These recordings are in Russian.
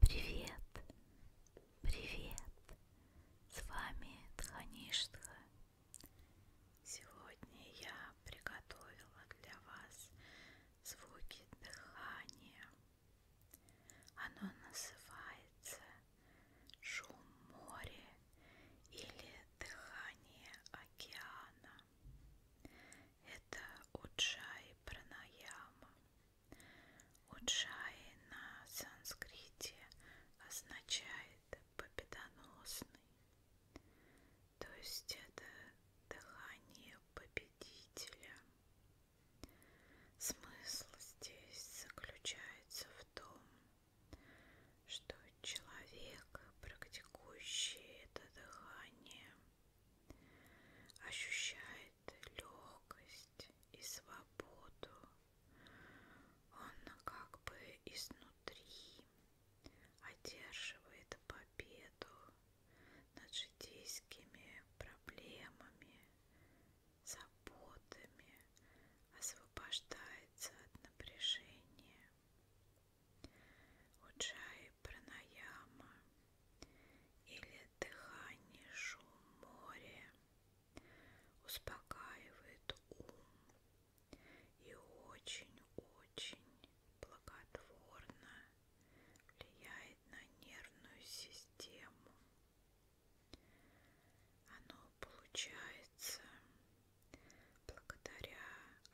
Привет, привет, с вами Тхаништха. Сегодня я приготовила для вас звуки дыхания. Оно называется шум моря или дыхание океана это Уджай Пранаяма. Уджай на санскрите означает победоносный. То есть это дыхание победителя. Смысл здесь заключается в том, что человек, практикующий это дыхание, ощущает легкость и свободу. Он как бы изнутри одерживает победу над житейскими проблемами, заботами, освобождается от напряжения. Уджай пранаяма или дыхание шум моря успокаивает ум и очень-очень благотворно влияет на нервную систему. Оно получается благодаря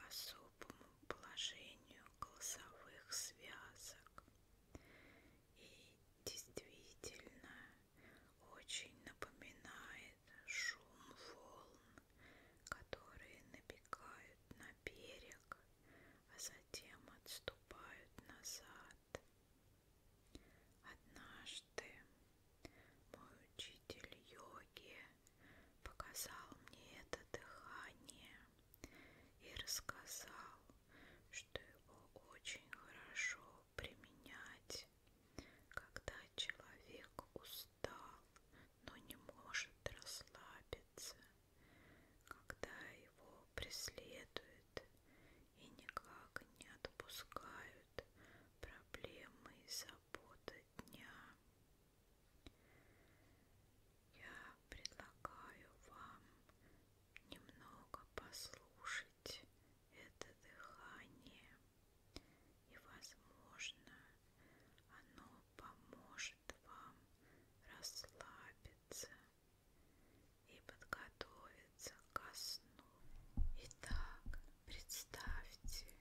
особому положению голосовых связок. И действительно очень напоминает шум волн, которые набегают на берег, а затем отступают назад. Однажды мой учитель йоги показал мне это дыхание и рассказал, что его очень хорошо применять, когда человек устал, но не может расслабиться, когда его преследуют и никак не отпускают проблемы и заботы дня. Я предлагаю вам немного послушать это дыхание, и, возможно, оно поможет вам расслабиться и подготовиться ко сну. Итак, представьте,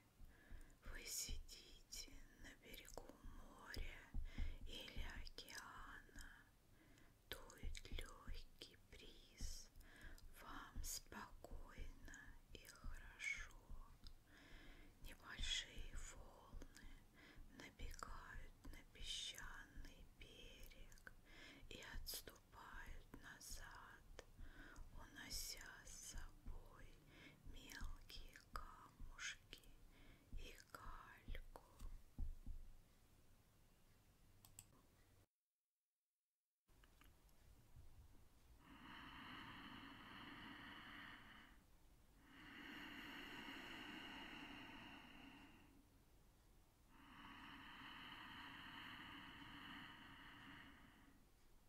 вы сидите на берегу моря или океана, дует легкий бриз, вам спокойно и хорошо. Небольшие волны набегают на песчаный берег и отступают назад, унося с собой мелкие камушки и кальку.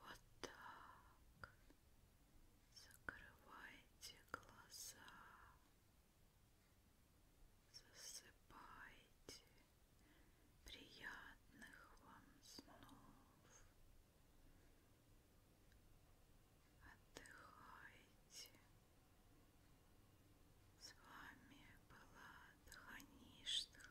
Вот так закрывайте глаза. Засыпайте. Приятных вам снов. Отдыхайте. С вами была Дхаништха.